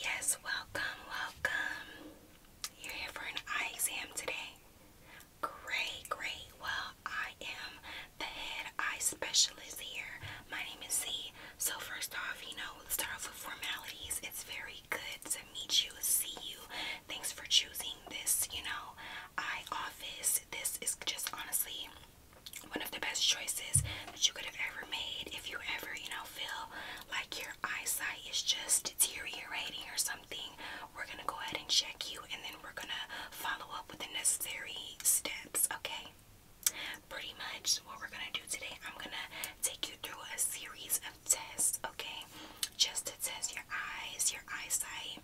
Yes, welcome, welcome. You're here for an eye exam today. Great, great. Well, I am the head eye specialist here. My name is Z. So, first off, you know, start off with formalities. It's very good to meet you, see you. Thanks for choosing this, you know, eye office. This is just honestly one of the best choices that you could have ever made if you ever, you know, feel like you're your eyesight is just deteriorating or something, we're going to go ahead and check you and then we're going to follow up with the necessary steps, okay? Pretty much what we're going to do today, I'm going to take you through a series of tests, okay? Just to test your eyes, your eyesight,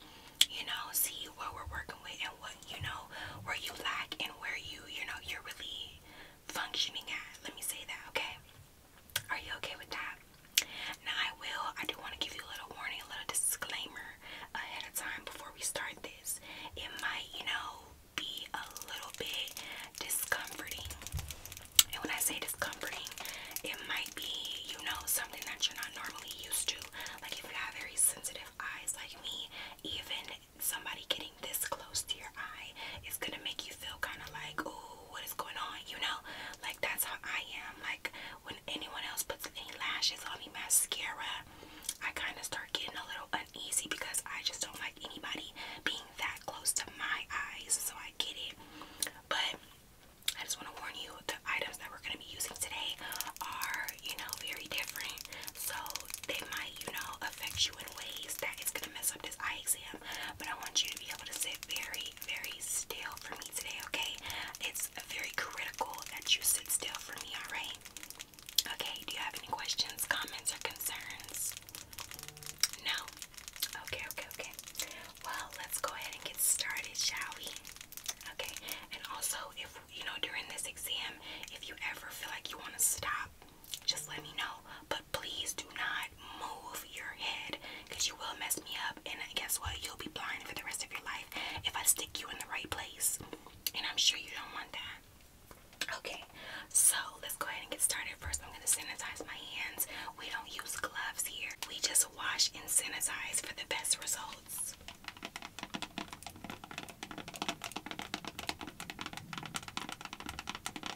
you know, see what we're working with and what, you know, where you lack and where you, you know, you're really functioning at. Let me say that, okay? Are you okay with that? Now, I will, I do want to give you a little warning, a little disclaimer ahead of time before we start this. It might, you know, be a little bit discomforting. And when I say discomforting, it might be, you know, something that you're not normally used to. Like if you have very sensitive eyes like me, even somebody getting this close to your eye is gonna make you feel kind of like, oh, what is going on? You know, like that's how I am. Like when anyone else puts any lashes on me, mascara, I kind of start getting a little uneasy because I just don't like anybody being that close to my eyes. So I get it, but. I just want to warn you the items that we're going to be using today are, you know, very different. So they might, you know, affect you in ways that it's gonna mess up this exam. But I want you to be able to sit very, very still for me today, okay? It's very critical that you sit still for me, alright? Okay, do you have any questions, comments, or concerns? No? Okay, okay, okay. Well, let's go ahead and get started, shall we? Okay, and also, if you know, during this exam, if you ever feel like you want to stop, just let me know. But please do not move your head because you will mess me up. And guess what? You'll be blind for the rest of your life if I stick you in the right place. And I'm sure you don't want that. Okay, so let's go ahead and get started. First, I'm going to sanitize my hands. We don't use gloves here, we just wash and sanitize for the best results.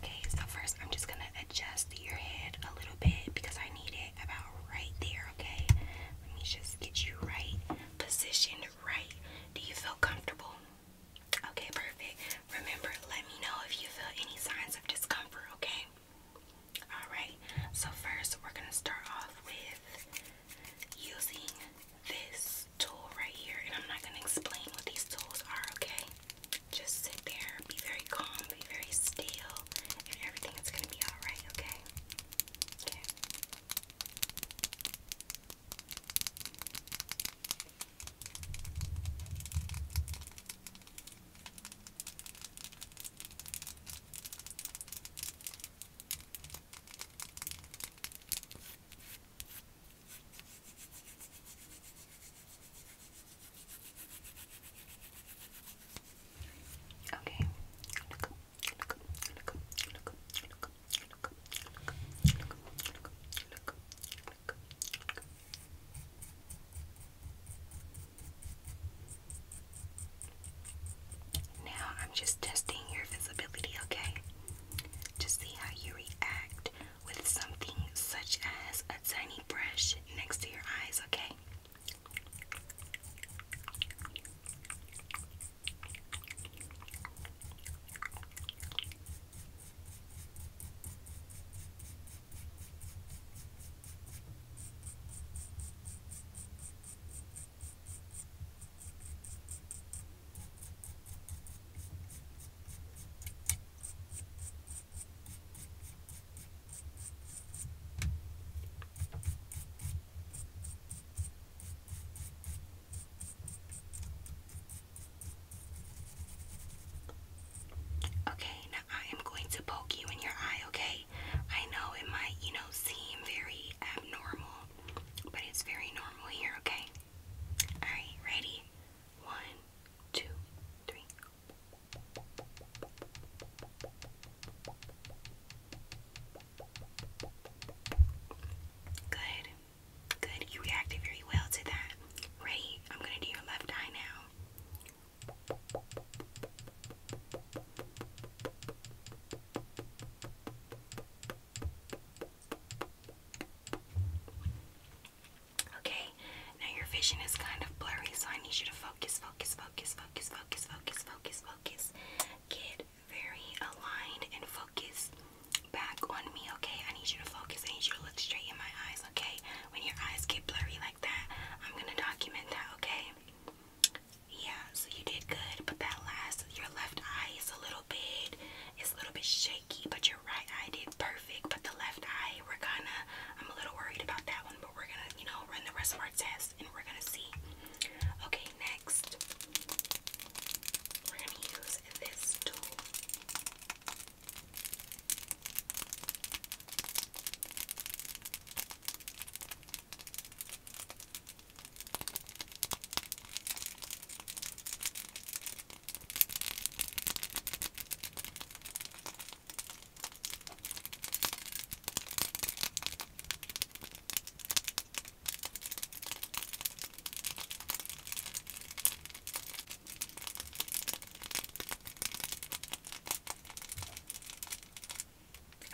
Okay, so first I'm just gonna adjust your head a little bit because I need it about right there, okay? Let me just get you right, positioned right. Do you feel comfortable? Okay, perfect. Remember, let me know if you feel any signs of discomfort, okay? Alright, so first we're gonna start off with using this tool right here, and I'm not going to explain what these tools are, okay? Just sit there, be very calm, be very still, and everything is going to be alright, okay? Okay. Okay. Now I'm just testing your visibility, okay? to see how you react with something such as a tiny brush next to your eyes, okay? Okay. Okay, now I am going to poke you in your eye, okay? I know it might, you know, seem very abnormal, but it's very normal here, okay? Alright, ready? One, two, three. Good. Good. You reacted very well to that. Ready? I'm going to do your left eye now. Okay, now your vision is kind of blurry, so I need you to focus, focus, focus, focus, focus, focus, focus, focus. Get very aligned and focus back on me, okay? I need you to focus. I need you to look straight in my eyes, okay? When your eyes get blurry like that, I'm gonna document that, okay? Yeah, so you did good, but that last, your left eye is a little bit, it's a little bit shaky, but right eye did perfect, but the left eye, we're kind of, I'm a little worried about that one, but we're going to, you know, run the rest of our test and we're going to see. Okay, next, we're going to use this tool.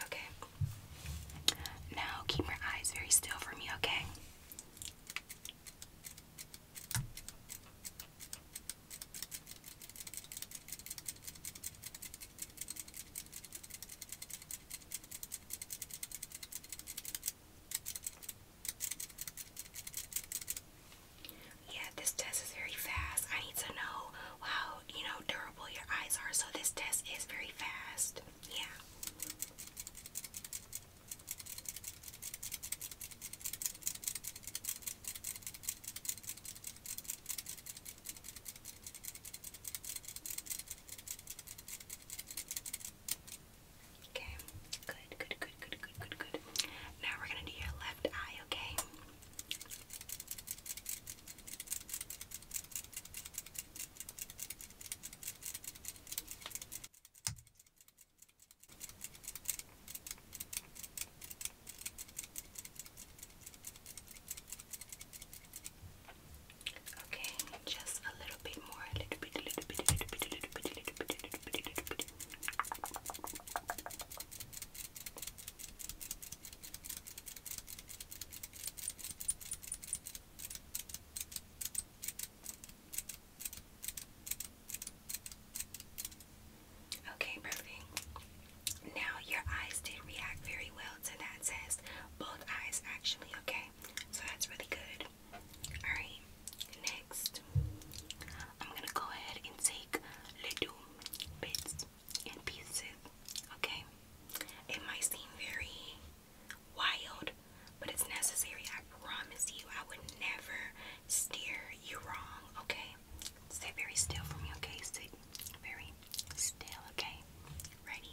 Okay. Now keep your eyes very still for me, okay? Yeah, this test is very fast. I need to know how, you know, durable your eyes are. So this test is very fast. Yeah. Okay, good, good, good, good, good, good, good. Now we're gonna do your left eye, okay? Okay, just a little bit more, a little bit, a little bit, a little bit, a little bit, a little bit, a little bit, a little bit. Okay, Okay, perfect. Now your eyes did react very well to that test. Both eyes actually, okay? So that's really good. Alright, next I'm gonna go ahead and take little bits and pieces, okay? It might seem very wild, but it's necessary. I promise you, I would never steer you wrong, okay? Stay very still for me, okay? Stay very still, okay? Ready?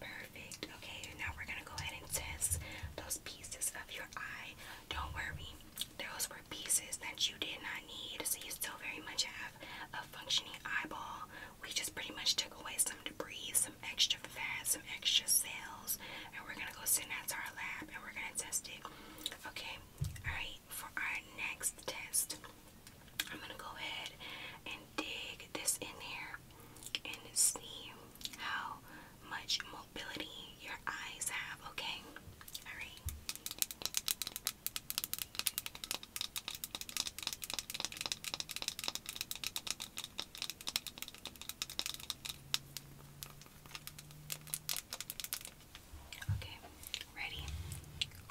Perfect. Okay, now we're gonna go ahead and test those pieces of your eye. Don't worry, those were pieces that you did not need, so you still very much have a functioning eyeball we just pretty much took away some debris, some extra fat, some extra cells, and we're gonna go sit that to our lab and we're gonna test it. Okay, alright, for our next test, I'm gonna go ahead and dig this in here and see how much mobility your eyes have, okay? Alright. Okay, ready?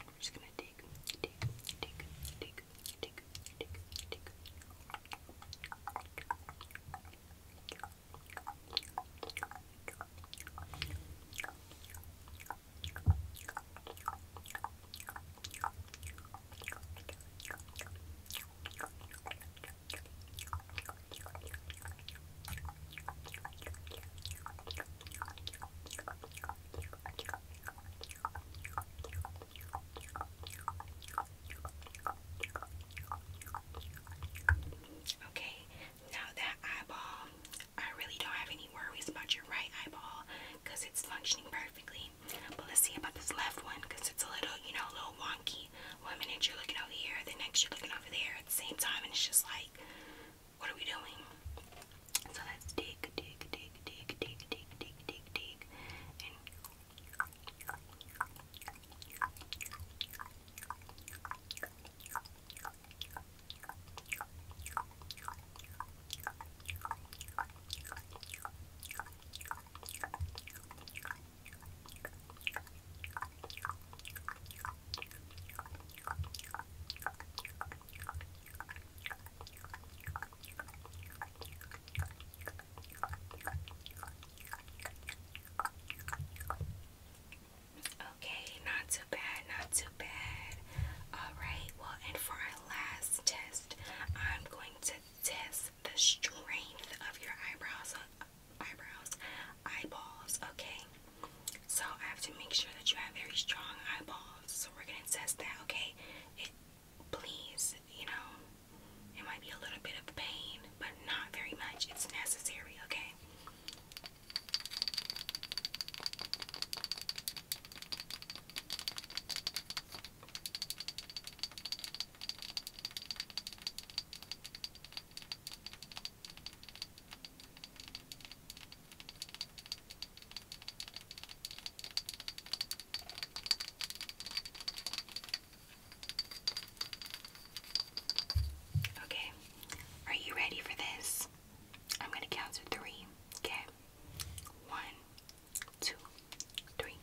We're just gonna dig, dig, dig, dig, dig, dig, dig. Okay. Okay, now that eyeball, I really don't have any worries about your right eyeball because it's functioning perfectly. But let's see about this left one because it's a little, you know, a little wonky. One minute you're looking over here, the next you're looking over there at the same time, and it's just like, what are we doing? So let's dig, dig, dig, dig, dig, dig, dig, dig, dig, and Okay, not too bad, not too bad. All right, well, and for last test, I'm going to test the strength of your eyebrows, eyebrows, eyeballs, okay? So I have to make sure that you have very strong eyeballs. So we're gonna test that, okay? please, you know, it might be a little bit of pain, but not very much. It's necessary, okay? Okay, are you ready for this? I'm going to count to three. Okay, one, two, three.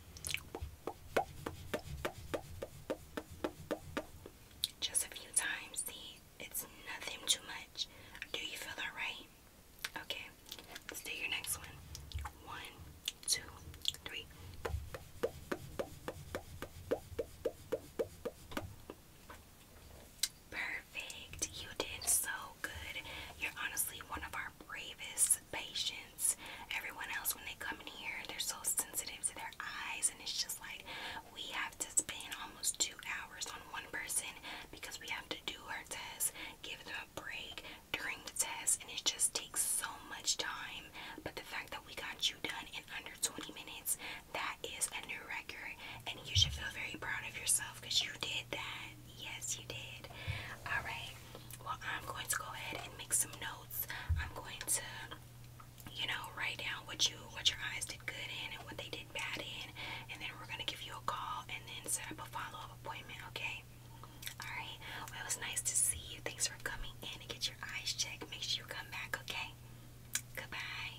Just a few times. See, it's nothing too much. Do you feel alright? Okay, do your next one. One, two, three. Perfect. You did so good. You're honestly one of our bravest patients. Everyone else, when they come in here, they're so sensitive to their eyes, and it's just like we have to spend almost two hours on one person because we have to do our test, give them a break during the test, and it just takes so much time. But the fact that we got you done in under 20 minutes, that is a new record, and you should feel very proud of yourself because you did that. Yes, you did. All right. Well, I'm going to go ahead and make some notes. I'm going to, you know, write down what you what your eyes did good in and what they did bad in, and then we're gonna give you a call and then set up a follow up appointment. Okay. All right. Well, it was nice to see you. Thanks for coming in and get your eyes checked. Make sure you come back. Okay. Goodbye.